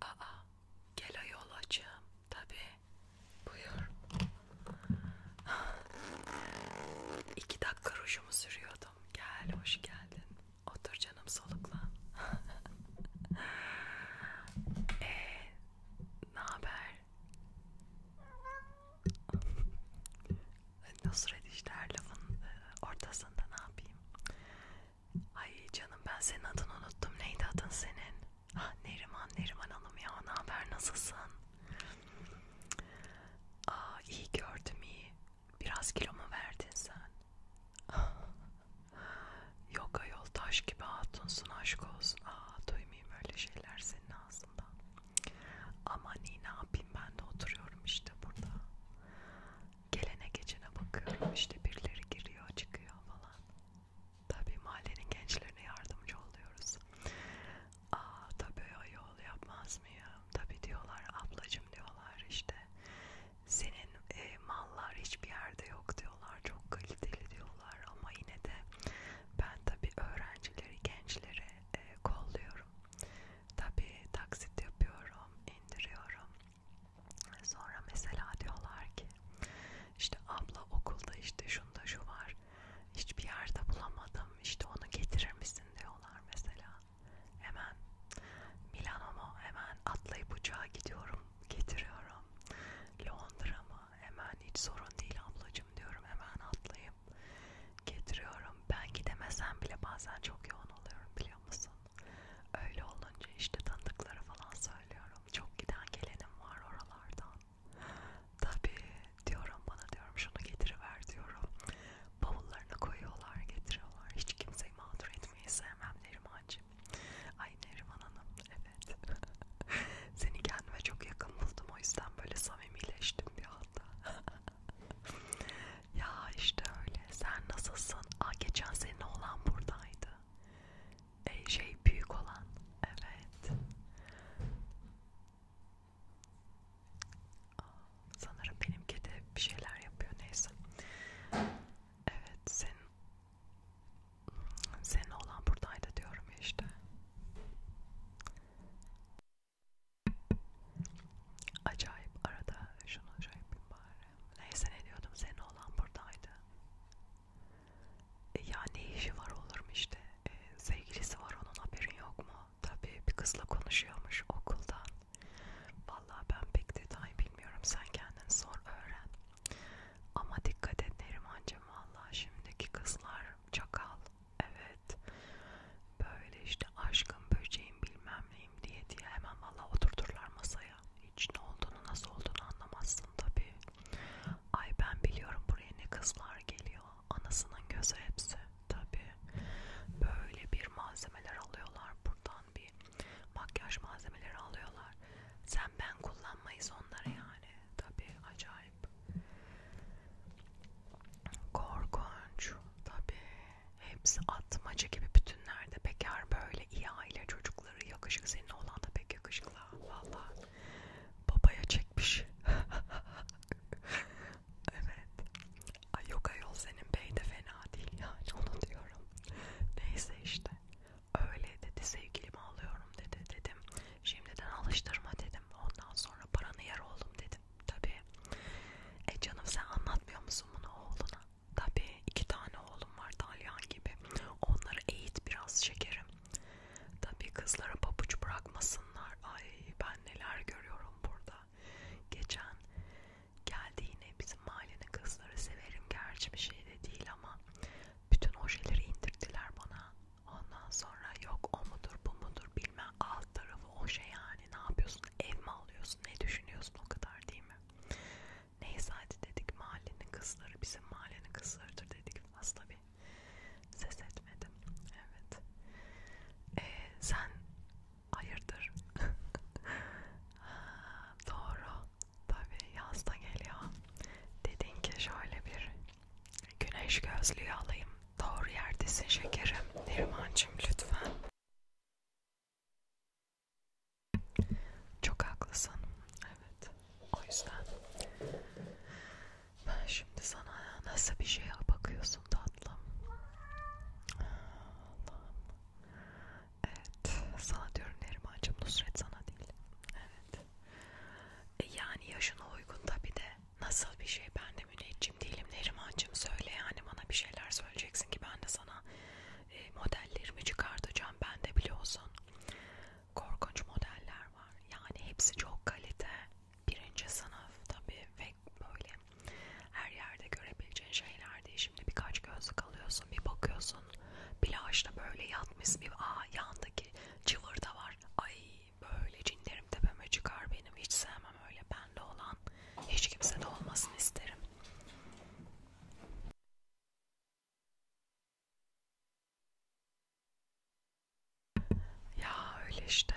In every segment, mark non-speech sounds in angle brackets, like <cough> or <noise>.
Aa, gel ayol açım. Tabii. Buyur. İki dakika rujumu sürüyordum. Gel hoş geldin. Otur canım solukla. Eee <laughs> ne haber? Nusret işte her lafın e, ortasında ne yapayım? Ay canım ben senin adını unuttum. Neydi adın senin? Ah Neriman, Neriman Hanım ya. Ne haber? Nasılsın? Aa iyi gördüm iyi. Biraz kilo mu verdin sen? <laughs> Yok ayol taş gibi hatunsun aşk olsun. Aa duymayayım öyle şeyler senin ağzından. Ama ni ne yapayım ben de oturuyorum işte burada. Gelene geçene bakıyorum işte birileri giriyor çıkıyor falan. Tabii mahallenin gençlerine yardımcı oluyoruz. Aa tabii yol yapmaz mıyım? Tabii diyorlar ablacım diyorlar işte. Senin e, mallar hiçbir yerde yok diyorlar. Çok kaliteli diyorlar ama yine de ben tabii öğrencileri, gençleri e, kolluyorum. Tabii taksit yapıyorum, indiriyorum. Sonra mesela diyorlar ki işte abla okulda işte şunda şu var hiçbir yerde bulamadım işte onu getirir misin diyorlar mesela hemen Milano mu hemen atlayıp uçağa gidiyorum getiriyorum Londra mı hemen hiç sorun değil ablacım diyorum hemen atlayıp getiriyorum ben gidemesem bile bazen çok yoğun oluyorum biliyor musun öyle olunca işte tanıdıklara falan söylüyorum çok giden gelenim var oralardan Tabii diyorum bana diyorum şunu getiriver diyorum. Bavullarına koyuyorlar getiriyorlar. Hiç kimseyi mağdur etmeyi sevmem Nerimancığım. Ay Neriman Hanım evet. <laughs> Seni kendime çok yakın buldum o yüzden böyle samimileştim bir anda. <laughs> ya işte öyle sen nasılsın? Aa geçen sene olan buradaydı. E, şey büyük olan evet. Sanırım benim kedi bir şeyler yapıyor neyse. Evet senin senin olan buradaydı diyorum işte. Acayip arada şunu acayip bari. Neyse ne diyordum senin olan buradaydı. E, ya ne işi var olur mu işte e, sevgilisi var onun haberin yok mu tabi bir kızla konuşuyormuş okuldan Vallahi ben pek detay bilmiyorum sen kendin sor öğren ama dikkat et Nerimancığım valla şimdiki kızlar çakal evet böyle işte aşkım böceğim bilmem neyim diye diye hemen valla oturturlar masaya hiç ne olduğunu nasıl olduğunu anlamazsın tabi Ay ben biliyorum buraya ne kızlar geliyor. Anasının gözü hepsi. Tabii. Böyle bir malzemeler alıyorlar buradan bir makyaj malzemeleri alıyorlar. Sen ben kullanmayız onları yani. Tabii acayip. Korkunç. Tabii. Hepsi atmaca gibi bütünlerde. Bekar böyle iyi aile çocukları yakışık senin olan da pek yakışıklı. Vallahi babaya çekmiş. <laughs> evet. Ay yok ayol senin bey de fena değil yani onu diyorum. Neyse işte. Öyle dedi sevgilimi alıyorum dedi dedim. Şimdiden alıştırma dedim. Ondan sonra paranı yer oğlum dedim. Tabii. E canım sen anlatmıyor musun bunu oğluna? Tabii iki tane oğlum var Dalyan gibi. Onları eğit biraz şekerim. Tabii kızlara pabuç bırakmasınlar. Ay ben neler görüyorum burada. Geçen geldi yine bizim mahallenin kızları severim gerçi bir şey de değil ama bütün ojeleri indirdiler bana. Ondan sonra yok o mudur bu mudur bilmem alt tarafı oje yani ne yapıyorsun ev mi alıyorsun ne düşünüyorsun o kadar değil mi? Neyse hadi dedik mahallenin kızları bizim mahallenin kızlarıdır dedik aslında bir Ses etmedim. Evet. Ee, sen hayırdır? <laughs> Doğru. Tabii yaz da geliyor. Dedin ki şöyle bir güneş gözlüğü alayım. Doğru yerdesin şekerim. Nerimancığım lütfen. Çok haklısın. Evet. O yüzden ben şimdi sana nasıl bir şeye bakıyorsun tatlım? Allah'ım. Evet. Sana diyorum Neriman'cığım Nusret sana değil. Evet. E yani yaşına uygun tabi de. Nasıl bir şey ben de müneccim değilim Neriman'cığım söyle yani bana bir şeyler söyleyeceksin ki ben de sana e, modellerimi çıkartacağım ben de biliyorsun korkunç modeller var. Yani hepsi çok kalite. Birinci sınıf tabii ve böyle her yerde görebileceğin şeyler değil. Şimdi birkaç gözlük alıyorsun, bir bakıyorsun. Plajda böyle yatmış bir aa yandaki cıvırda var. Ay böyle cinlerim tepeme çıkar benim. Hiç sevmem öyle bende olan. Hiç kimse de olmasını isterim. Ya öyle işte.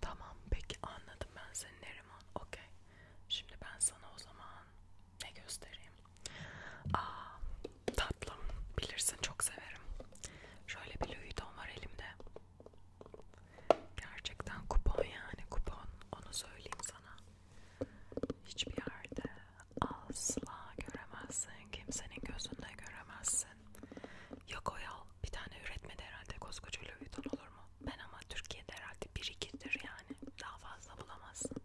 Tamam peki anladım ben seni Neriman. Okey. Şimdi ben sana o zaman ne göstereyim? Aa, tatlım. Bilirsin çok severim. Şöyle bir Louis Vuitton var elimde. Gerçekten kupon yani kupon. Onu söyleyeyim sana. Hiçbir yerde asla göremezsin. Kimsenin gözünde göremezsin. Yok o yol. Bir tane üretmedi herhalde koskoca Louis olur mu? Ben ama Türkiye'de herhalde bir ikidir yani. Daha fazla bulamazsın.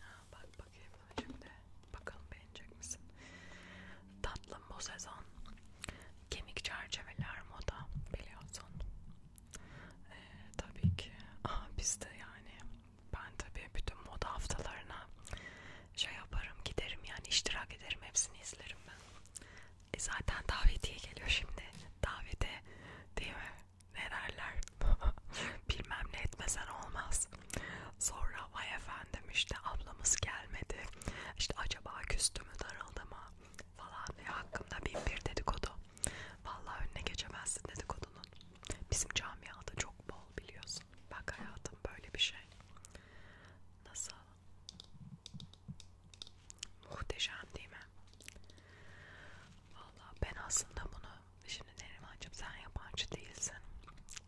Ha, bak bakayım şimdi. Bakalım beğenecek misin? Tatlım bu sezon. Kemik çerçeveler moda biliyorsun. Ee, tabii ki. Aa, biz de yani ben tabii bütün moda haftalarına şey yaparım, giderim yani iştirak ederim, hepsini izlerim ben. E zaten davetiye geliyor şimdi. Davete değil mi? Ne derler? <laughs> Bilmem ne etmesen olmaz. Sonra vay efendim işte ablamız gelmedi. İşte acaba küstü mü darıldı mı falan ve hakkımda bin bir dedikodu. Vallahi önüne geçemezsin dedikodunun. Bizim camiada çok bol biliyorsun. Bak hayatım böyle bir şey. Nasıl? Muhteşem değil mi? Valla ben aslında bunu şimdi Nerimancığım sen yabancı değilsin.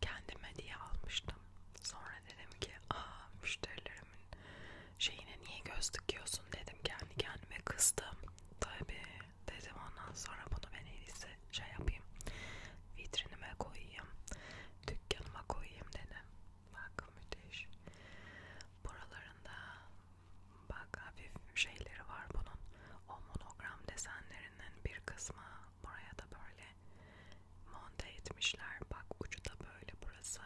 Kendime diye almıştım. Sonra dedim ki aa müşterilerimin şeyine niye göz dikiyorsun dedim kendi kendime kızdım. Tabii dedim ondan sonra bunu ben en iyisi şey yapayım vitrinime koyayım dükkanıma koyayım dedim bak müthiş buralarında bak hafif şeyleri var bunun o monogram desenlerinin bir kısmı buraya da böyle monte etmişler bak ucu da böyle burası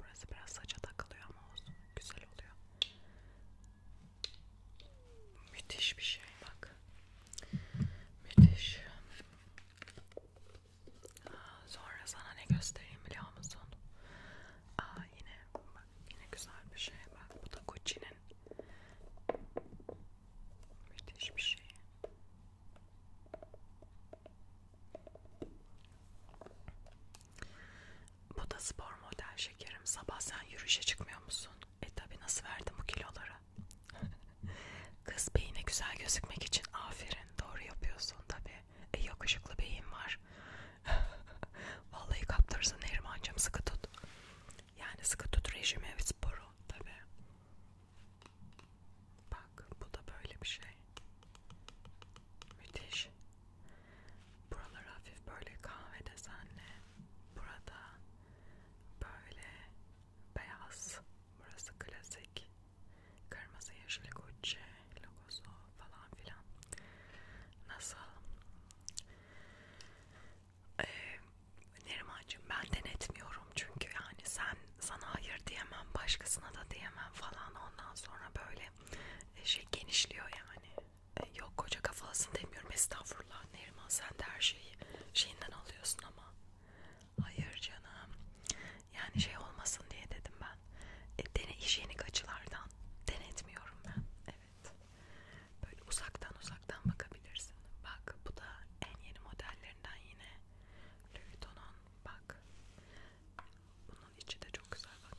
burası biraz saça takılıyor ama olsun güzel oluyor Müthiş bir şey bak. Müthiş. Sonra sana ne göstereyim biliyor musun? Aa, yine bak yine güzel bir şey bak. Bu da Gucci'nin. Müthiş bir şey. Bu da spor model şekerim. Sabah sen yürüyüşe çıkmıyor musun? E tabi nasıl verdim bu kiloları? <laughs> Kız beyine güzel gözükmek için aferin doğru yapıyorsun tabi. E yakışıklı beyin var. <laughs> Vallahi kaptırırsın Nerimancığım sıkı tut. Yani sıkı tut rejimi ve sporu tabi. Bak bu da böyle bir şey. Müthiş. Buralar hafif böyle kahve desenli. Burada Böyle beyaz, burası klasik. Kırmızı yeşil Gucci logosu falan filan. Nasıl? Ee, Nerimancığım ben denetmiyorum çünkü yani sen sana hayır diyemem başkasına da diyemem falan ondan sonra böyle şey genişliyor yani e, yok koca kafalısın demiyorum estağfurullah Neriman sen de her şeyi şeyinden alıyorsun ama hayır canım yani şey olmasın diye dedim ben e, dene hijyenik açılardan denetmiyorum ben evet böyle uzaktan uzaktan bakabilirsin bak bu da en yeni modellerinden yine Louis Vuitton bak bunun içi de çok güzel bak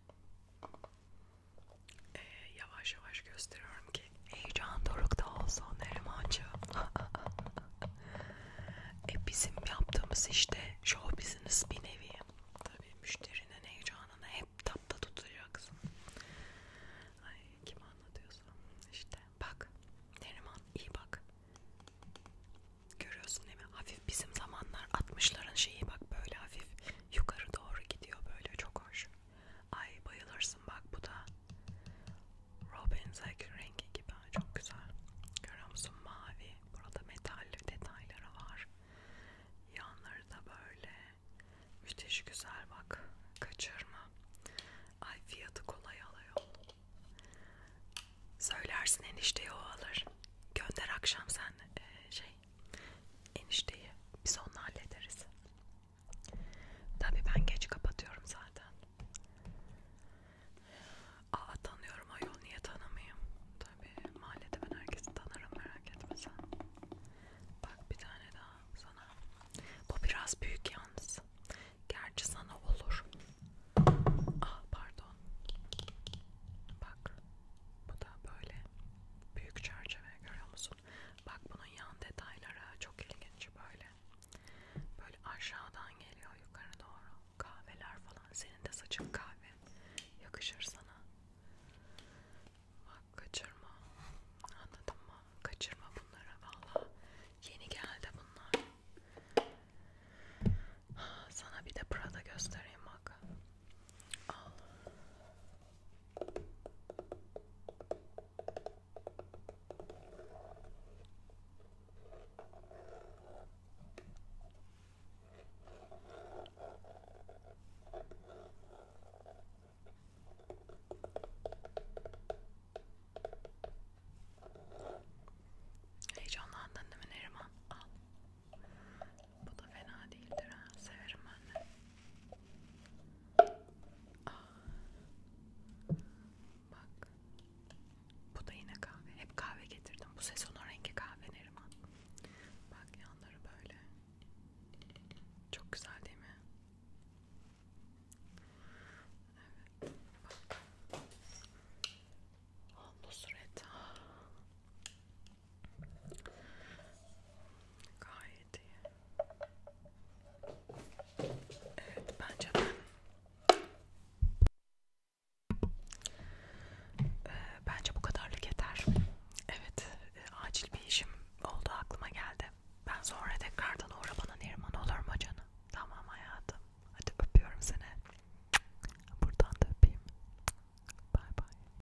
Ee, yavaş yavaş gösteriyorum ki heyecan dorukta olsun Nerimancı. <laughs> e bizim yaptığımız işte show business bir nevi. Tabii müşterinin heyecanını hep tapta tutacaksın. Ay kim anlatıyorsa işte bak Neriman iyi bak. Görüyorsun değil mi? Hafif bizim zamanlar 60'ların şeyi bak böyle hafif yukarı doğru gidiyor böyle çok hoş. Ay bayılırsın bak bu da. Robin Zack rengi gibi çok güzel. Görüyor musun mavi? Burada metal detayları var. Yanları da böyle. Müthiş güzel bak. Kaçırma. Ay fiyatı kolay alıyor. Söylersin enişteye o alır. Gönder akşam sen e, şey enişteyi biz onunla hallederiz. Tabii ben geç kapatıyorum zaten. Aa tanıyorum ayol niye tanımayayım? Tabii mahallede ben herkesi tanırım merak etme sen. Bak bir tane daha sana. Bu biraz büyük yalnız. Gerçi sana olur. Ah pardon. Bak bu da böyle büyük çerçeve görüyor musun? Bak bunun yan detayları çok ilginç böyle. Böyle aşağıdan geliyor yukarı doğru. Kahveler falan. Senin de saçın kahve. Yakışır sana. Bak kaçırma. Anladın mı? Kaçırma bunları valla. Yeni geldi bunlar. Sana bir de Prada göstereyim bak. Al. Heyecanlandın değil mi Neriman? Al. Bu da fena değildir ha. Severim ben de. Aa, ah. bak. Bu da yine kahve. Hep kahve getirdim. Bu sezonun rengi kahve Neriman. Bak yanları böyle. Çok güzel değil mi? Evet. Bak. Hamdolsun et. Gayet iyi. Evet bence ben ee, bence bu kadarlık yeter. Evet e, acil bir işim oldu aklıma geldi. Ben sonra tekrardan uğra bana Neriman olur mu canım? Tamam hayatım. Hadi öpüyorum seni. Buradan da öpeyim. Bay bay.